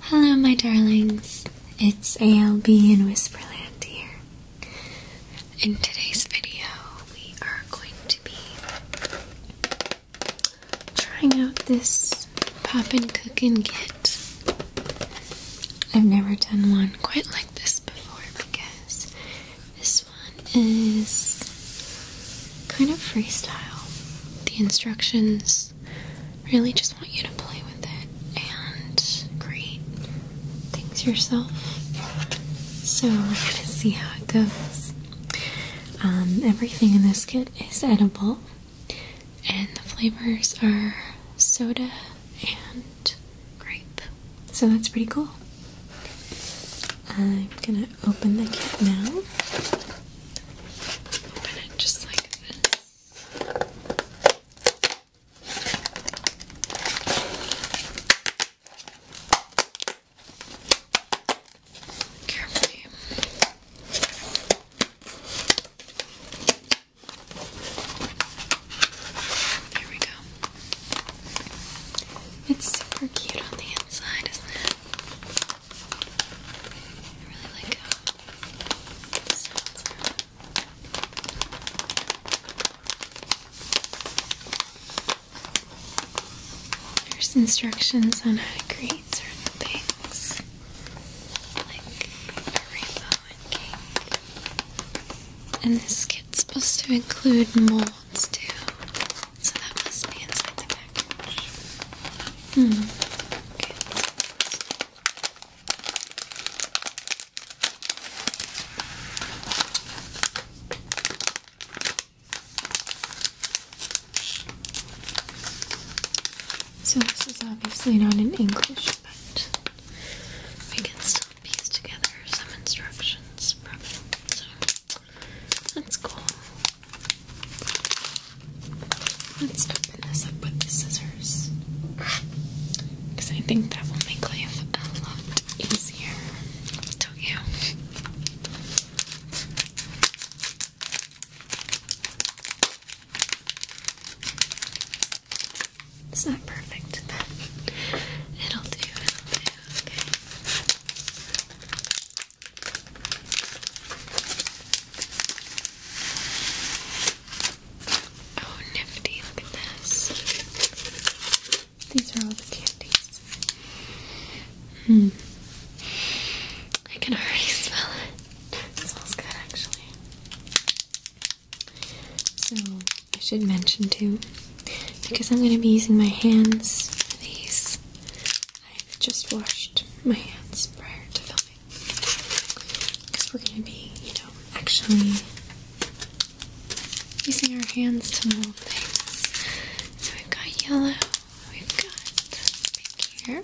Hello, my darlings. It's ALB in Whisperland here. In today's video, we are going to be trying out this pop and cook and kit. I've never done one quite like this before because this one is kind of freestyle. The instructions really just want you to play with it and create things yourself. So we're gonna see how it goes. Um, everything in this kit is edible, and the flavors are soda and grape. So that's pretty cool. I'm gonna open the kit now. Open it just like this. Carefully. There we go. It's super cute on the inside, isn't it? I really like how there's instructions on how to create certain things, like rainbow and And this kit's supposed to include molds too, so that must be inside the package. Hmm. So, this is obviously not in English, but we can still piece together some instructions from it. So, that's cool. Let's open this up with the scissors. Because I think that will make life a lot easier to you. It's not perfect, but it'll do, Oh, nifty, look at this. These are all the candies. Hmm. I can already smell it. It smells good, actually. So, I should mention too, because I'm going to be using my hands for these, I've just washed my hands prior to filming. Because we're going to be, you know, actually using our hands to mold things. So we've got yellow, we've got pink here.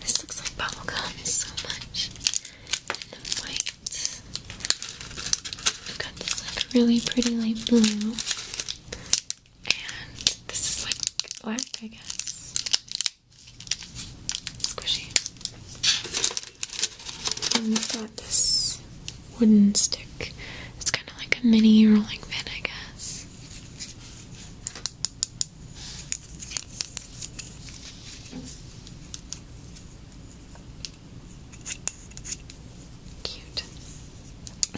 This looks like bubble gum so much. white. We've got this like really pretty light blue. And this is like black, I guess squishy. we've got this wooden stick. It's kind of like a mini rolling pin, I guess. Cute.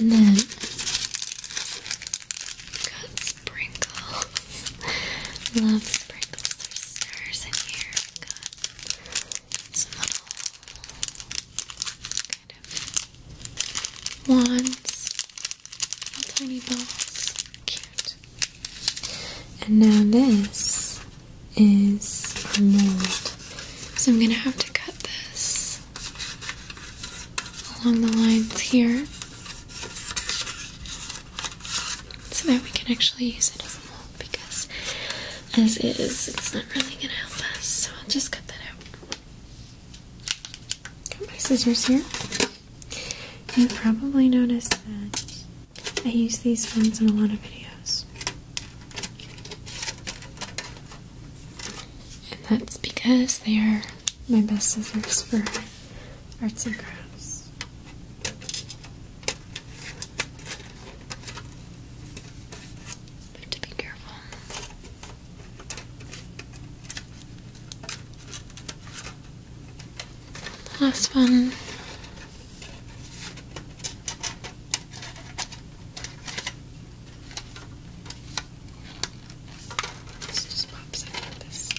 And then Got sprinkles. Love sprinkles. There's stars in here. Got some little kind of wands. Little tiny balls. Cute. And now this is a mold. So I'm gonna have to cut this along the lines here so that we can actually use it as a mold because as is, it's not really going to help us. So I'll just cut that out. Got my scissors here. You probably noticed that I use these ones in a lot of videos. And that's because they are my best scissors for arts and crafts. I to be careful. Last one. Let's just pop some of this.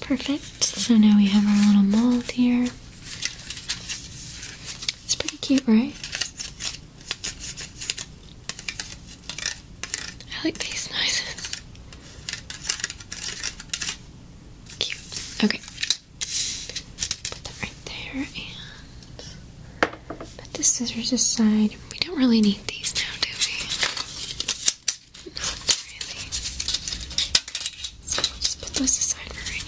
Perfect. So now we have our little mold here. It's pretty cute, right? I like these noises. Cute. Okay. Put that right there and put the scissors aside. We don't really need these now, do we? Not really. So just put this aside for right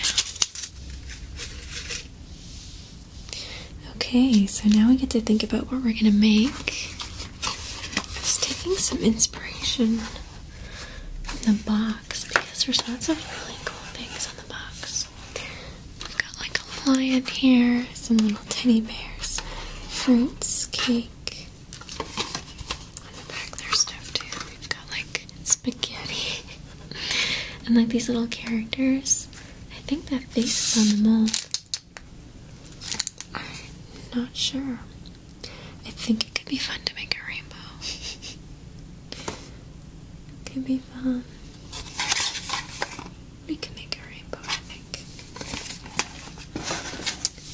now. Okay, so now we get to think about what we're gonna make. I was taking some inspiration from the box because there's lots of really cool things on the box. We've got like a lion here, some little teddy bears, fruits, cake, in the back there's stuff too. We've got like spaghetti and like these little characters. I think that face is on the mold. not sure. I think it could be fun to make a rainbow. it could be fun. We can make a rainbow,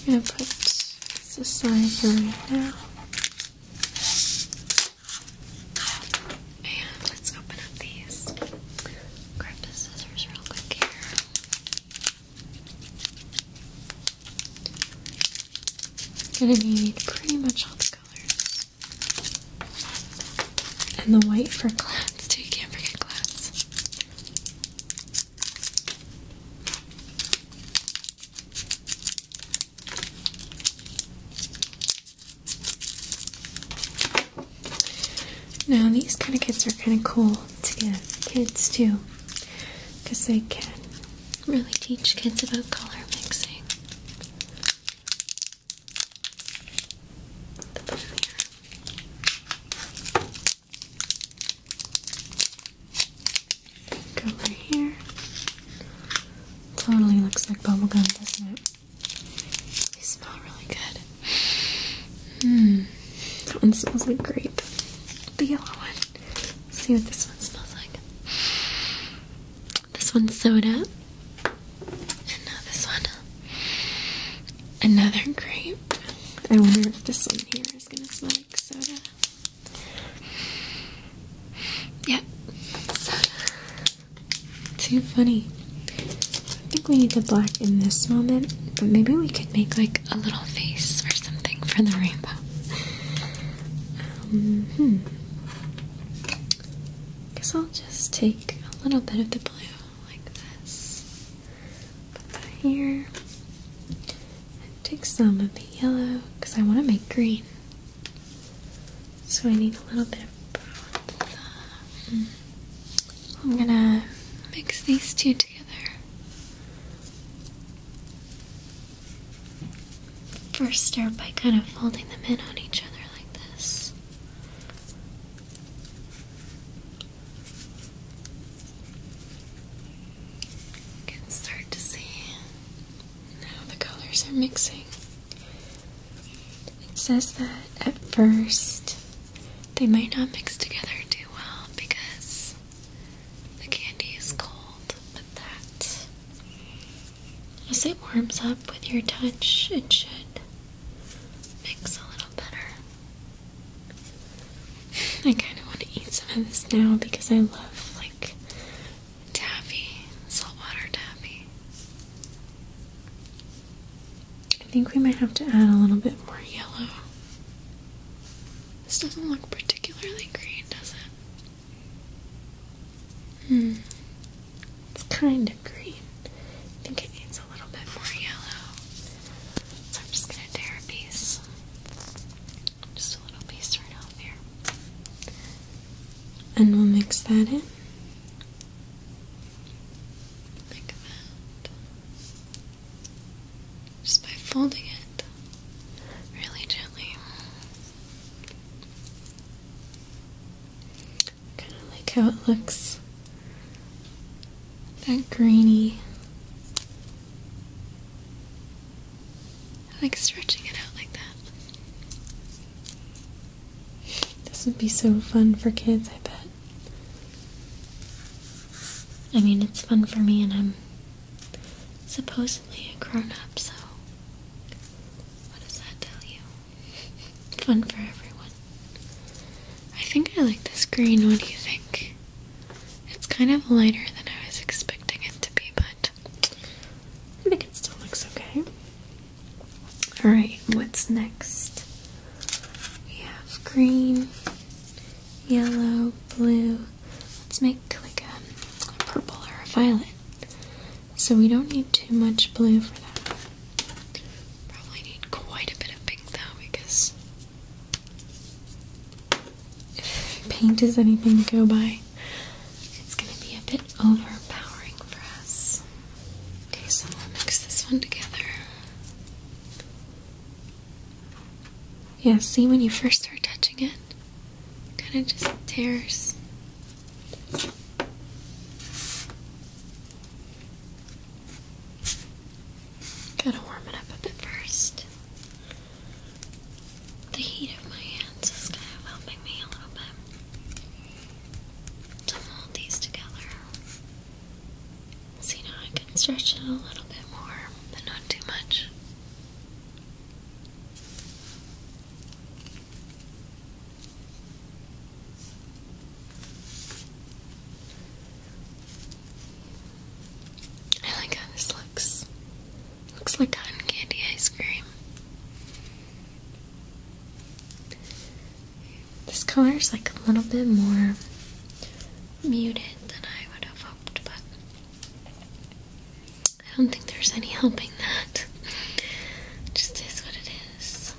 I'm gonna put this aside for right now. And let's open up these. Grab the scissors real quick here. Gonna need pretty much all the colors. And the white for clouds too, you can't forget clouds. Now, these kind of kits are kind of cool to give kids too, because they can really teach kids about color mixing. Go over here. Totally looks like bubblegum, doesn't it? They smell really good. Hmm. That one smells like grape. The yellow one. see what this one smells like. This one's soda. And now this one. Another grape. I wonder if this one here is gonna smell drink Yeah, Too funny. I think we need the black in this moment, but maybe we could make like a little face or something for the rainbow. Um, hmm. Guess I'll just take a little bit of the blue like this. Put that here. And take some of the yellow because I want to make green. So I need a little bit of both. I'm gonna mix these two together. First, start by kind of folding them in on each other like this can start to see how the colors are mixing. It says that at first they might not mix together too well because the candy is cold, but that as it warms up with your touch, it should mix a little better. I kind of want to eat some of this now because I love like taffy, saltwater taffy. I think we might have to add a little bit more yellow. This doesn't look particularly green, does it? Hmm. It's kind of green. I think it needs a little bit more yellow. So I'm just gonna tear a piece. Just a little piece right off here. And we'll mix that in. Like that. Just by folding it really gently. Kinda like how it looks. That grainy I like stretching it out like that. This would be so fun for kids, I bet. I mean, it's fun for me, and I'm supposedly a grown up, so what does that tell you? fun for everyone. I think I like this green. What do you think? It's kind of lighter than I was expecting it to be, but I think it still looks okay. Alright, what's next? We have green, yellow, blue. Let's make like a, purple or a violet. So we don't need too much blue for that. Probably need quite a bit of pink though because if paint is anything to go by, it's going to be a bit overpowering for us. Okay, so we'll mix this one together. Yeah, see when you first start touching it kind of just tears. Gotta warm it up a bit first. The heat of my hands is kind of helping me a little bit to mold these together. See, now I can stretch it a little bit more, but not too much. I like how this looks. Looks like cotton candy ice cream. This color is like a little bit more muted than I would have hoped, but I don't think there's any helping that. just is what it is.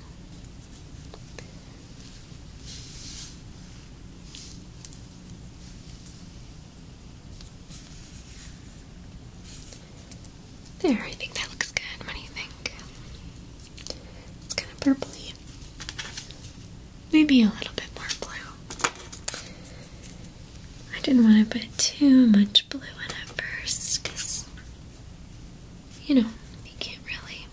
There, I think that looks good. What do you think? It's kind of purpley. Maybe a little bit more blue. I didn't want to put too much blue in at first because, you know, you can't really,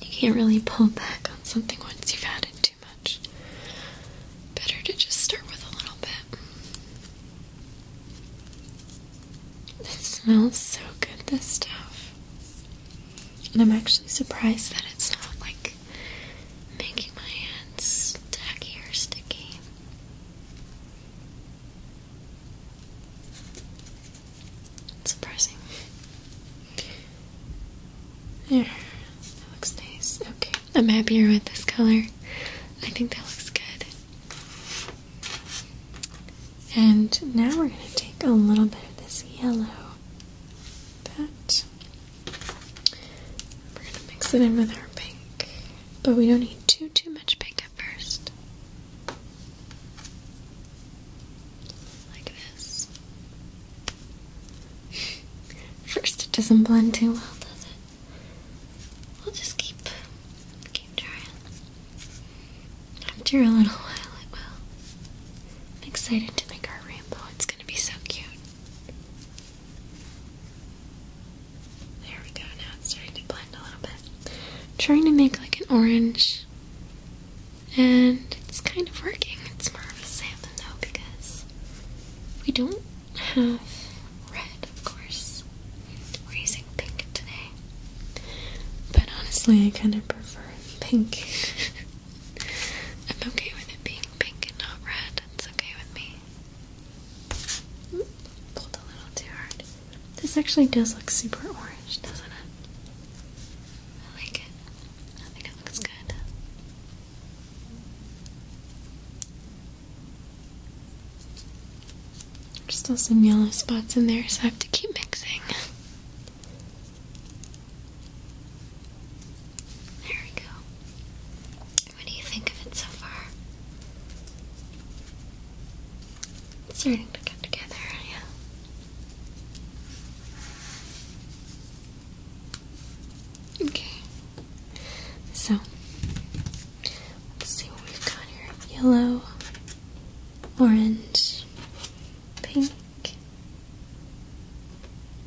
you can't really pull back on something once you've added too much. Better to just start with a little bit. It smells so good, this stuff. And I'm actually surprised that it's not like making my hands tacky or sticky. surprising. There, that looks nice. Okay, I'm happier with this color. I think that looks good. And now we're going to take a little bit of this yellow. That. We're going to mix it in with our pink. But we don't need too, too much pink at first. Like this. First, it doesn't blend too well, does it? We'll just keep, keep trying. After a little while, it will. I'm excited to make our rainbow. It's gonna be so cute. There we go. Now it's starting to blend a little bit. trying to make like an orange and it's kind of working. It's more of a sample though because we don't have red, of course. We're using pink today. But honestly, I kind of prefer pink. I'm okay with it being pink and not red. It's okay with me. pulled a little too hard. This actually does look super orange, doesn't it? I like it. I think it looks good. There's still some yellow spots in there, so I have to keep mixing. There we go. What do you think of it so far? It's starting to come together, yeah. Okay. So let's see what we've got here. Yellow, orange, pink,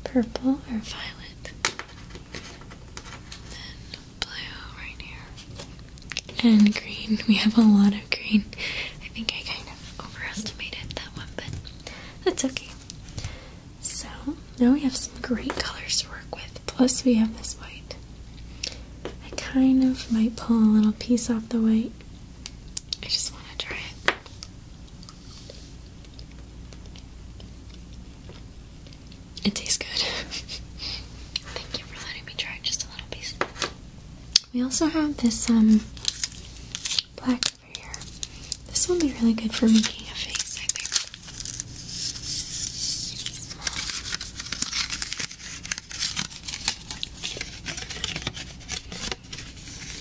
purple or violet. Then blue right here. And green. We have a lot of green. I think I kind of overestimated that one, but that's okay. So now we have some great colors to work with. Plus we have this white. I kind of might pull a little piece off the white. I just want to try it. It tastes good. Thank you for letting me try just a little piece. We also have this um black over here. This will be really good for making a face, I think.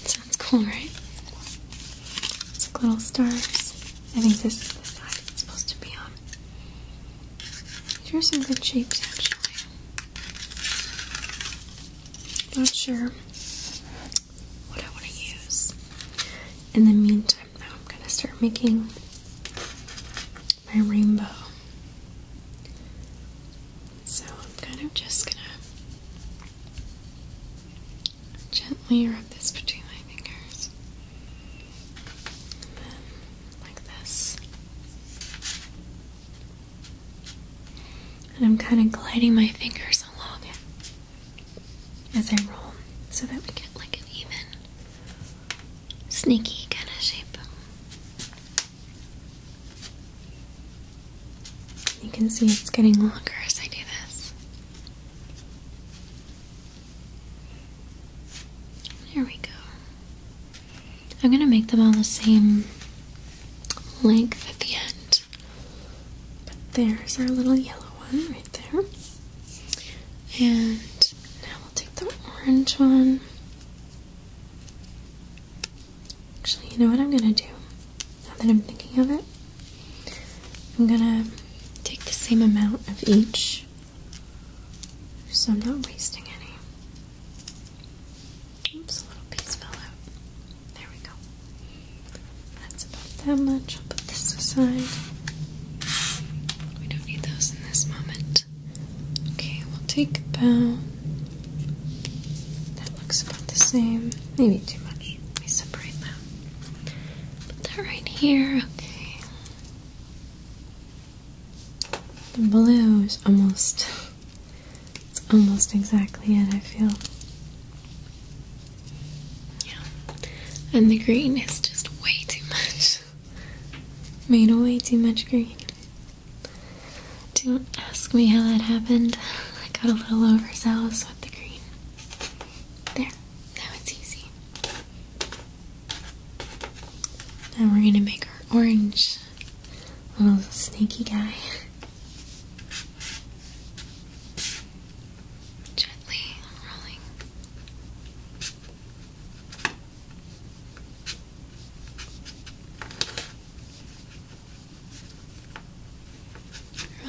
Sounds cool, right? It's like little stars. I think this is the side it's supposed to be on. These are some good shapes, actually. Not sure what I want to use. In the meantime, though, I'm going to start making my rainbow. So I'm kind of just going to gently rub this between my fingers. like this. And I'm kind of gliding my fingers along it as I roll so that we get like an even, sneaky kind of shape. You can see it's getting longer as I do this. There we go. I'm going to make them all the same length at the end. But there's our little yellow one right there. And now we'll take the orange one. Actually, you know what I'm going to do? Now that I'm thinking of it, I'm going to take the same amount of each so I'm not wasting any. Oops, a little piece fell out. There we go. That's about that much. I'll put this aside. We don't need those in this moment. Okay, we'll take about. That looks about the same. Maybe too much. We me separate that. Put that right here. Okay. The blue is almost it's almost exactly it, I feel. Yeah. And the green is just way too much. Made way too much green. Don't ask me how that happened. I got a little overzealous with the green. There. Now it's easy. Now we're gonna make our orange little snaky guy gently rolling.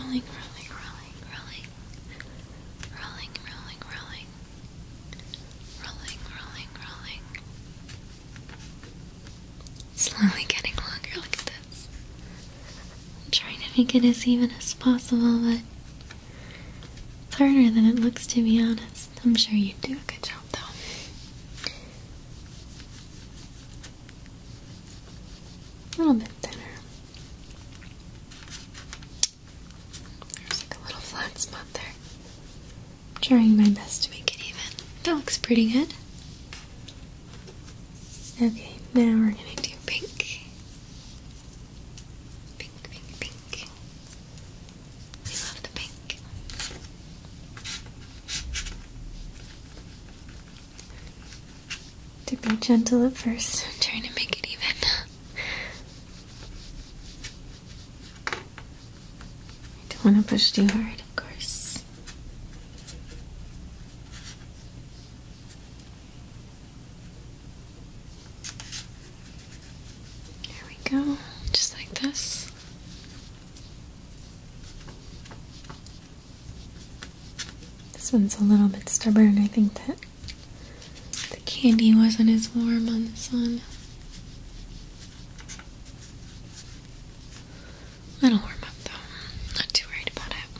Rolling, rolling, rolling, rolling, rolling, rolling, rolling, rolling, rolling, rolling, slowly getting longer. Look at this. I'm trying to make it as even as possible, but it's harder than it looks to be honest. I'm sure you would do a good job though. A little bit thinner. There's like a little flat spot there. I'm trying my best to make it even. That looks pretty good. Okay, now we're gonna do pink. Pink, pink, pink. I love the pink. To be gentle at first, I'm trying to make it even. I don't want to push too hard, of course. There we go, just like this. This one's a little bit stubborn. I think that the candy wasn't as warm on this one. I don't warm up though. Not too worried about it.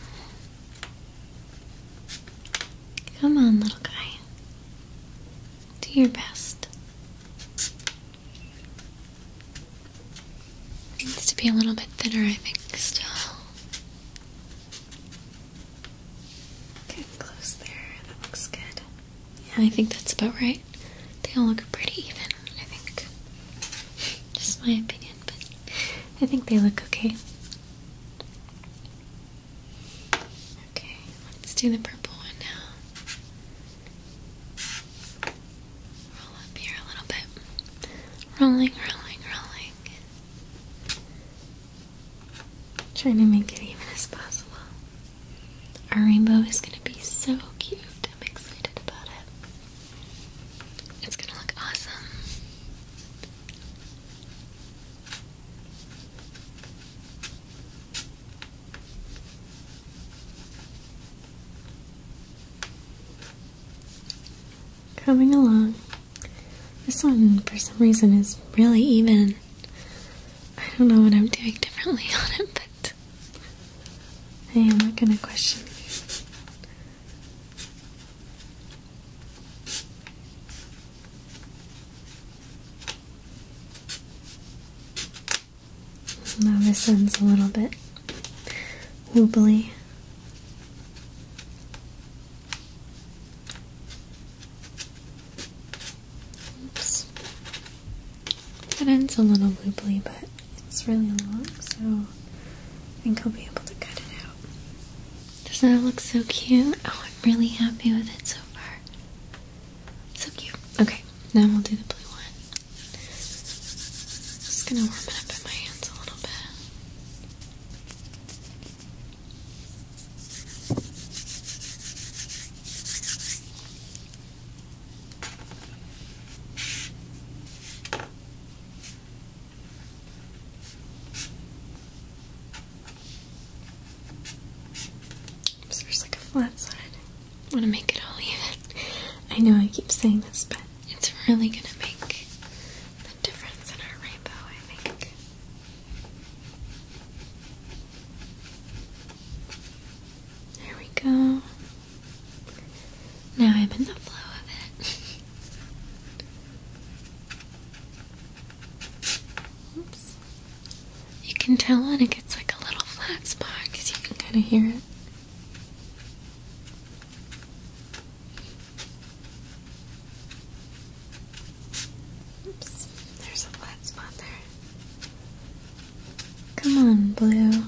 Come on, little guy. Do your best. Needs to be a little bit thinner, I think, still. Get close there. That looks good. Yeah, I think that's about right. They all look pretty even, I think. Just my opinion. I think they look okay. Okay, let's do the purple one now. Roll up here a little bit. Rolling, rolling, rolling. Trying to make it even as possible. Our rainbow is going to be so cute. I'm excited about it. It's gonna look awesome. Coming along. This one, for some reason, is really even. I don't know what I'm doing differently on it, but I am not gonna question now this one's a little bit wobbly. Oops. That ends a little wobbly, but it's really long, so I think I'll be able to cut it out. Doesn't that look so cute? Oh, I'm really happy with it so far. So cute. Okay, now we'll do the blue one. Just gonna warm it up in my hands a little bit there's like a flat side. I want to make it all even. I know I keep saying this, but it's really going to make the difference in our rainbow, I think. There we go. Now I'm in the flow of it. Oops. You can tell when it gets like a little flat spot because you can kind of hear it. Oops, there's a flat spot there. Come on, Blue.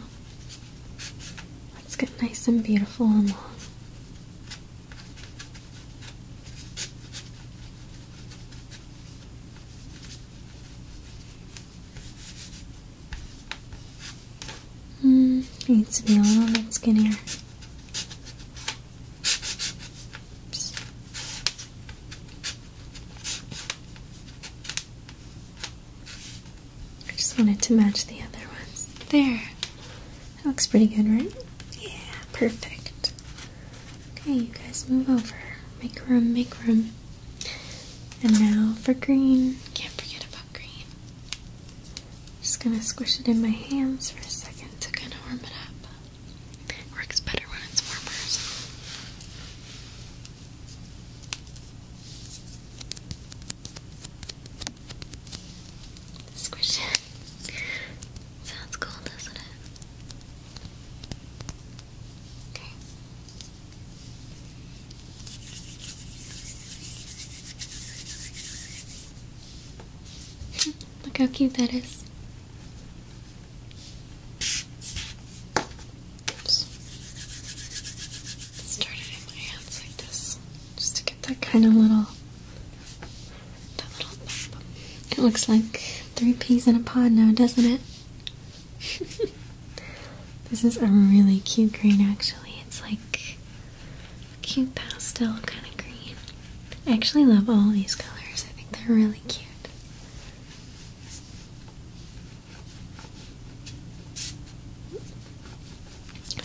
Let's get nice and beautiful and long. Mm, needs to be a little bit skinnier. I just wanted to match the other ones. There. That looks pretty good, right? Yeah, perfect. Okay, you guys move over. Make room, make room. And now for green. Can't forget about green. Just gonna squish it in my hands for a second to kind of warm it up. Works better when it's warmer. Squish it. Sounds cool, doesn't it? Look how cute that is. Oops. Started in my hands like this, just to get that kind of little it looks like three peas in a pod now, doesn't it? this is a really cute green, actually. It's like cute pastel kind of green. I actually love all these colors, I think they're really cute.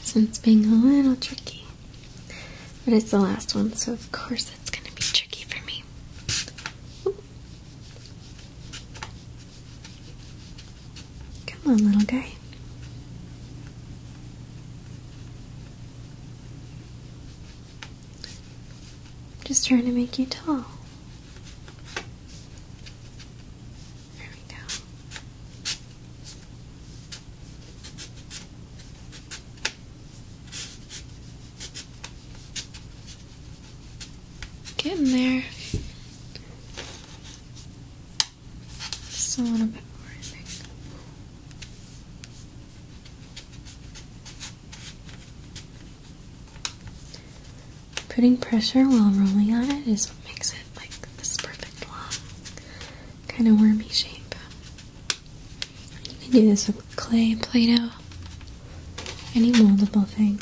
So it's being a little tricky. But it's the last one, so of course it's going to be tricky for me. Come on, little guy. Just trying to make you tall. There we go. Getting there. Just a little bit more, Putting pressure while rolling on it is what makes it like this perfect long kind of wormy shape. You can do this with clay, Play-Doh, any moldable thing.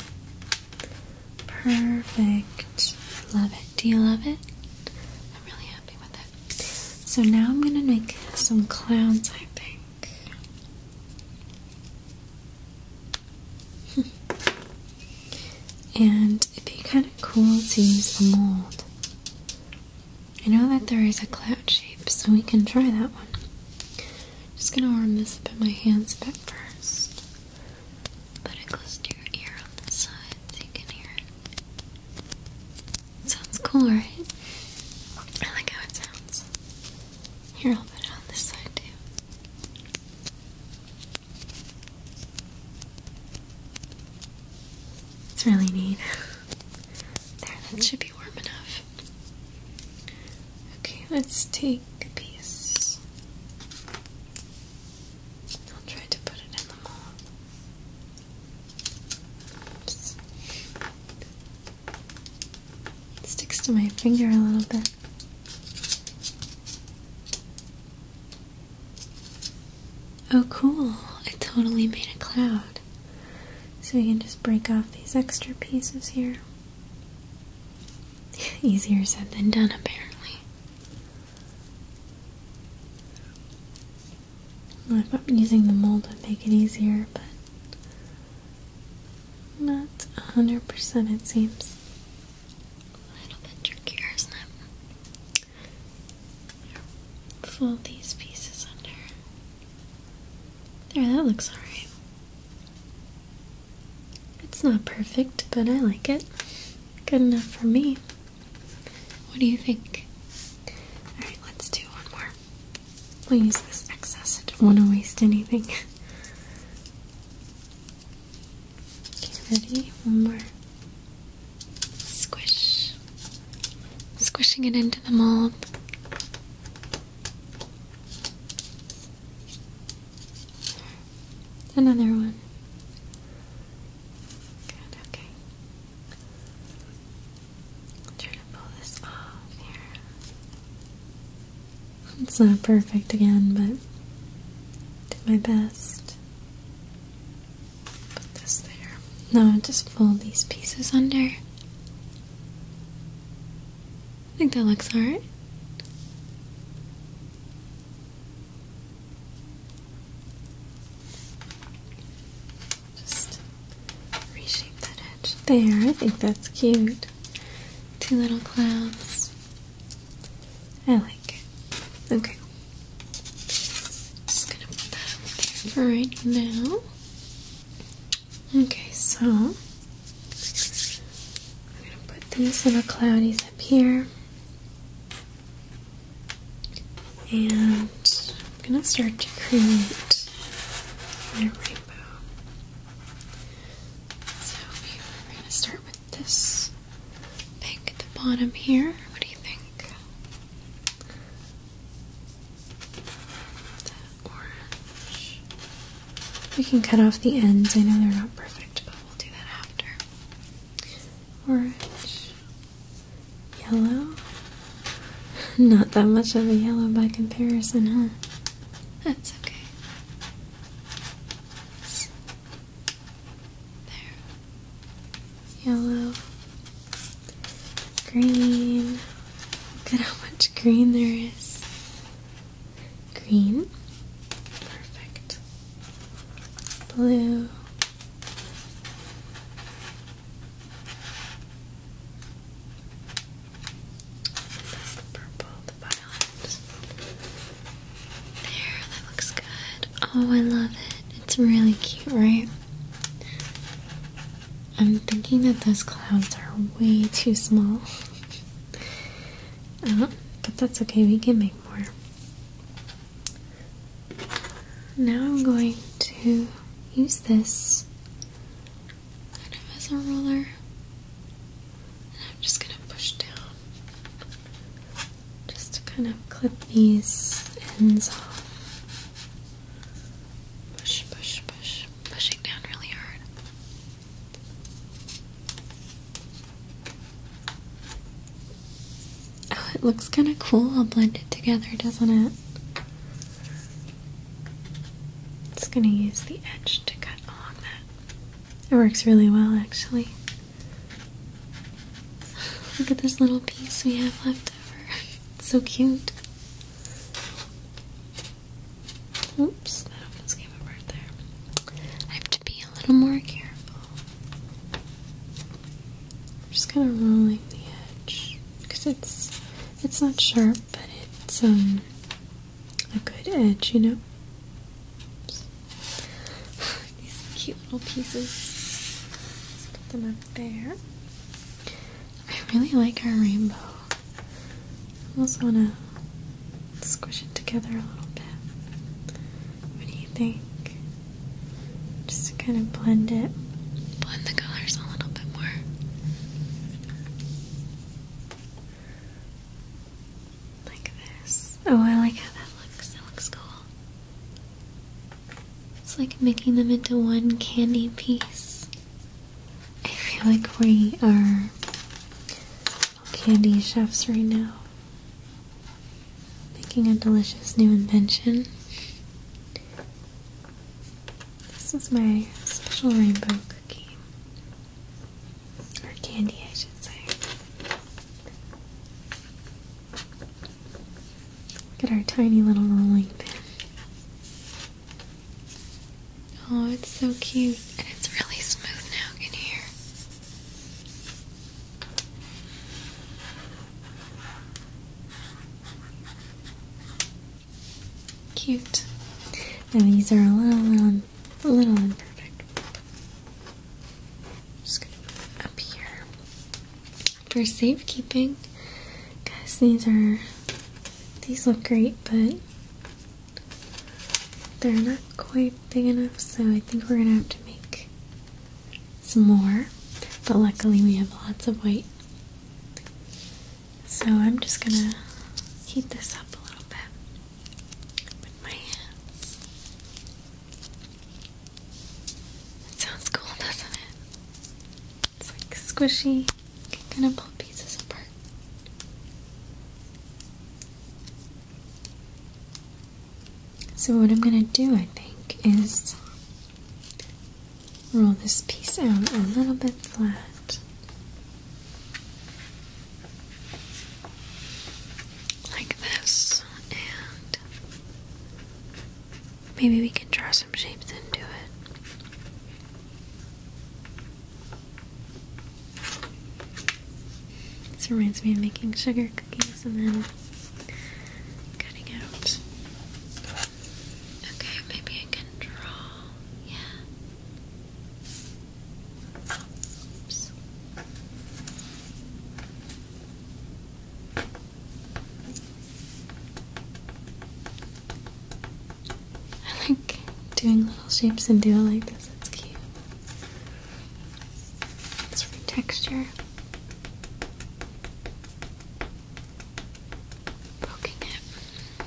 Perfect. Love it. Do you love it? I'm really happy with it. So now I'm going to make some clowns, I think. And it'd be kind of cool to use a mold. I know that there is a cloud shape, so we can try that one. Just gonna warm this up in my hands a bit first. Put it close to your ear on the side so you can hear Sounds cool, right? I like how it sounds. Here, I'll put it on this side too. It's really neat. there, that should be warm enough. Okay, let's take a piece. I'll try to put it in the mold. Oops. It sticks to my finger a little bit. Oh, cool. I totally made a cloud. So we can just break off these extra pieces here. Easier said than done, apparently. I thought using the mold would make it easier, but not 100% it seems. A little bit trickier, isn't it? Fold these pieces under. There, that looks alright. It's not perfect, but I like it. Good enough for me. What do you think? Alright, let's do one more. We'll use this excess. I don't want to waste anything. Okay, ready? One more. Squish. Squishing it into the mold. Another one. Good, okay. i to pull this off here. It's not perfect again, but do my best. Put this there. Now just fold these pieces under. I think that looks alright. Just reshape that edge there. I think that's cute. Two little clouds. I like it. Okay. Just gonna put that up there for right now. Okay, so I'm gonna put these little cloudies up here. And I'm gonna start to create my rainbow. So we're gonna start with this pink at the bottom here. What do you think? orange. We can cut off the ends. I know they're not perfect, but we'll do that after. Orange, yellow. Not that much of a yellow by comparison, huh? That's okay. There. Yellow. Green. Look at how much green there is. Green. Perfect. Blue. purple, the violet. There, that looks good. Oh, I love it. It's really cute, right? I'm thinking that those clouds are way too small. but that's okay, we can make more. Now I'm going to use this as a roller. And I'm just going to push down just to kind of clip these ends off. Push, push, push, pushing down really hard. Oh, it looks kind of cool I'll blend it together, doesn't it? It's gonna use the edge to cut along that. It works really well, actually. Look at this little piece we have left over. It's so cute. Oops, that almost came apart there. I have to be a little more careful. just kind of rolling the edge because it's it's not sharp, but it's um a good edge, you know these cute little pieces. put them up there. I really like our rainbow. I also want to squish it together a little bit. What do you think? Just to kind of blend it, blend the colors a little bit more. Like this. Oh, I like how that looks. That looks cool. It's like making them into one candy piece. I feel like we are candy chefs right now. Making a delicious new invention. This is my special rainbow cookie. Or candy, I should say. Look at our tiny little rolling pin. Oh, it's so cute. And it's really smooth now in hear? Cute. And these are a little, little, a little imperfect. just up here for safekeeping. Guys, these are these look great, but they're not quite big enough, so I think we're gonna have to make some more. But luckily, we have lots of white. So I'm just gonna heat this up a little bit with my hands. It sounds cool, doesn't it? It's like squishy. kind of pull pieces apart. So what I'm gonna do, I think, is roll this piece out a little bit flat. Like this, and Maybe we can draw some shapes into it. This reminds me of making sugar cookies and then cutting out. Okay, maybe I can draw. Yeah. Oops. I like doing little shapes and doing like this. It's cute. It's for texture. Poking it.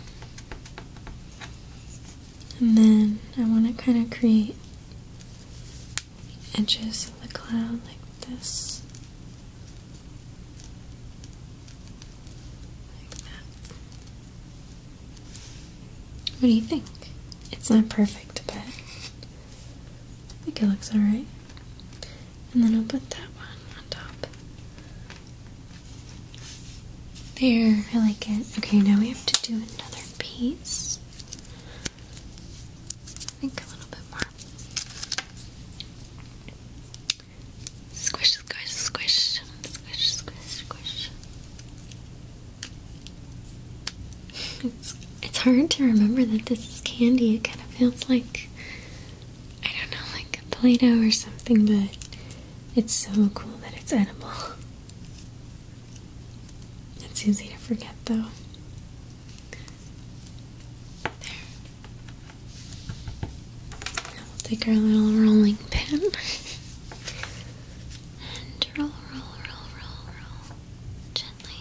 And then I want to kind of create Inches of the cloud like this. Like that. What do you think? It's not perfect, but I think it looks alright. And then I'll put that one on top. There, I like it. Okay, now we have to do another piece think a little bit more. Squish, squish, squish, squish, squish, squish. It's hard to remember that this is candy. It kind of feels like I don't know, like Play-Doh or something, but it's so cool that it's edible. It's easy to forget though. There. we'll take our little rolling pin and roll, roll, roll, roll, roll gently.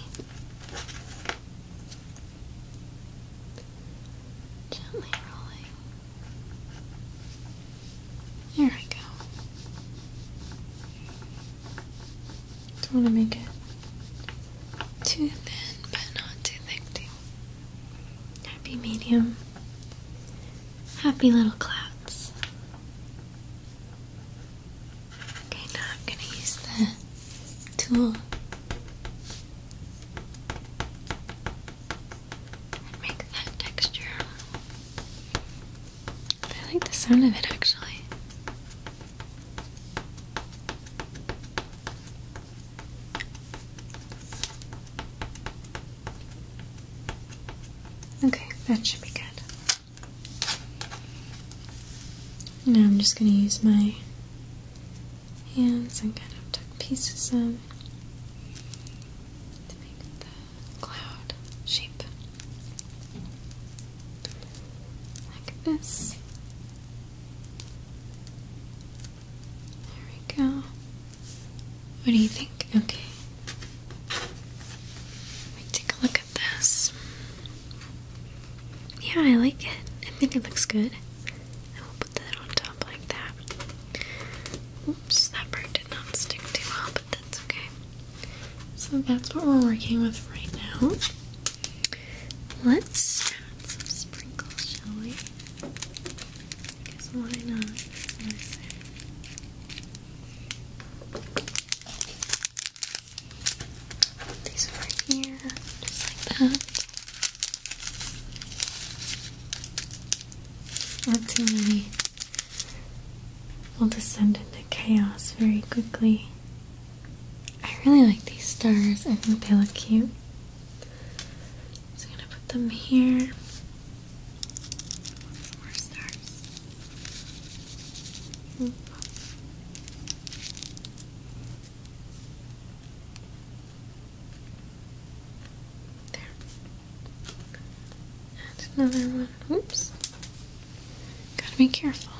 Gently rolling. There we go. Don't want to make it too thin, but not too thick, too. Happy medium. Happy little clouds. Okay, now I'm going to use the tool and make that texture. I like the sound of it actually. Okay, that should be good. Now I'm just going to use my hands and kind of tuck pieces in to make the cloud shape. Like this. There we go. What do you think? Okay. Let me take a look at this. Yeah, I like it. I think it looks good. I will put that on top like that. Oops, that part did not stick too well, but that's okay. So that's what we're working with right now. Let's add some sprinkles, shall we? Because why not? Put these over here, just like that. Not too many will descend into chaos very quickly. I really like these stars. I think they look cute. So I'm gonna put them here. More stars. There. And another one. Oops. Gotta be careful.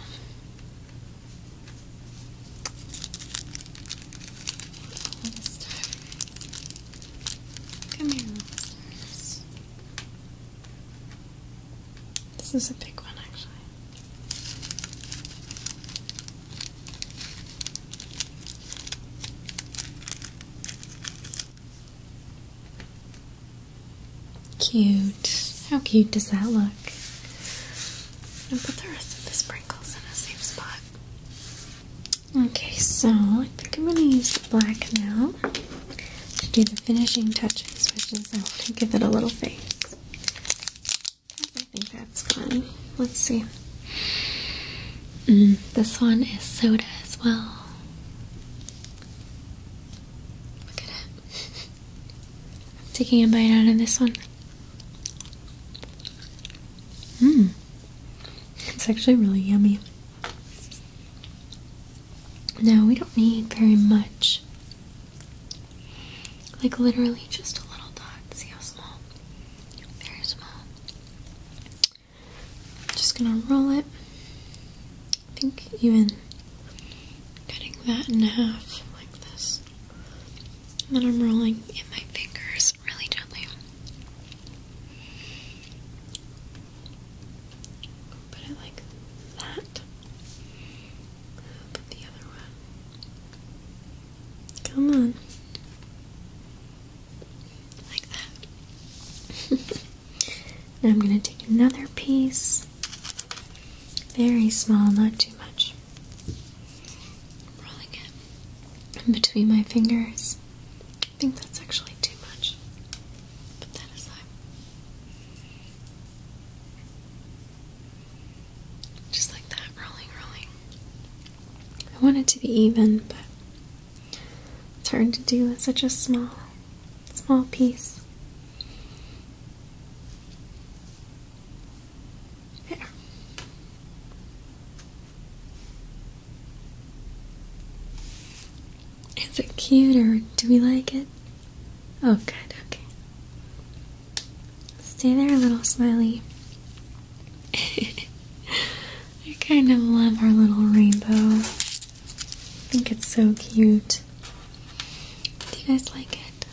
Come here, This is a big one, actually. Cute. How cute does that look? And put the rest of the sprinkles in a safe spot. Okay, so I think I'm going to use the black now to do the finishing touches, which is I'll to give it a little face. I think that's fun. Let's see. Mm, this one is soda as well. Look at it. Taking a bite out of this one. Mmm. It's actually really yummy. Now, we don't need very much. Like, literally, just a little dot. See how small? Very small. Just gonna roll it. I think even cutting that in half like this. And then I'm rolling in my fingers really gently. Put it like that. Put the other one. Come on. Like that. now I'm going to take another piece very small, not too much. i rolling it between my fingers. I think that's actually too much. Put that aside. Just like that, rolling, rolling. I want it to be even, but it's hard to do with such a small, small piece. Is it cute or do we like it? Oh, good, okay. Stay there, little smiley. I kind of love our little rainbow. I think it's so cute. Do you guys like it?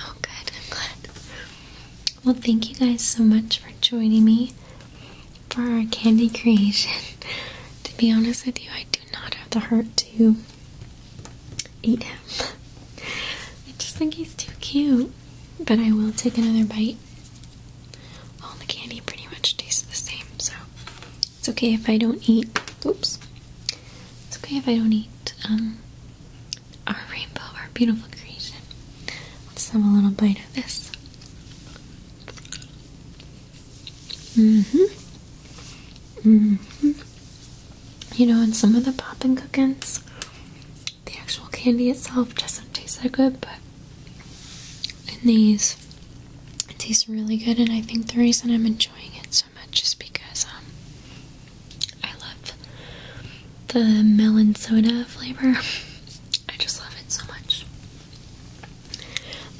Oh, good. i Well, thank you guys so much for joining me for our candy creation. to be honest with you, I do not have the heart to eat him. I just think he's too cute. But I will take another bite. All the candy pretty much tastes the same, so it's okay if I don't eat. Oops. It's okay if I don't eat. Um, our rainbow, our beautiful creation. Let's have a little bite of this. hmm hmm You know, in some of the poppin' cookins, the actual candy itself doesn't taste that good, but in these, it tastes really good, and I think the reason I'm enjoying it so just because um, I love the melon soda flavor. I just love it so much.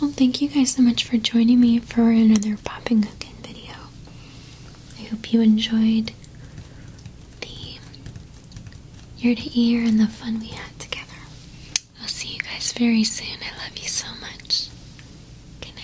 Well, thank you guys so much for joining me for another popping cooking video. I hope you enjoyed the ear to ear and the fun we had together. I'll see you guys very soon. I love you so much. Good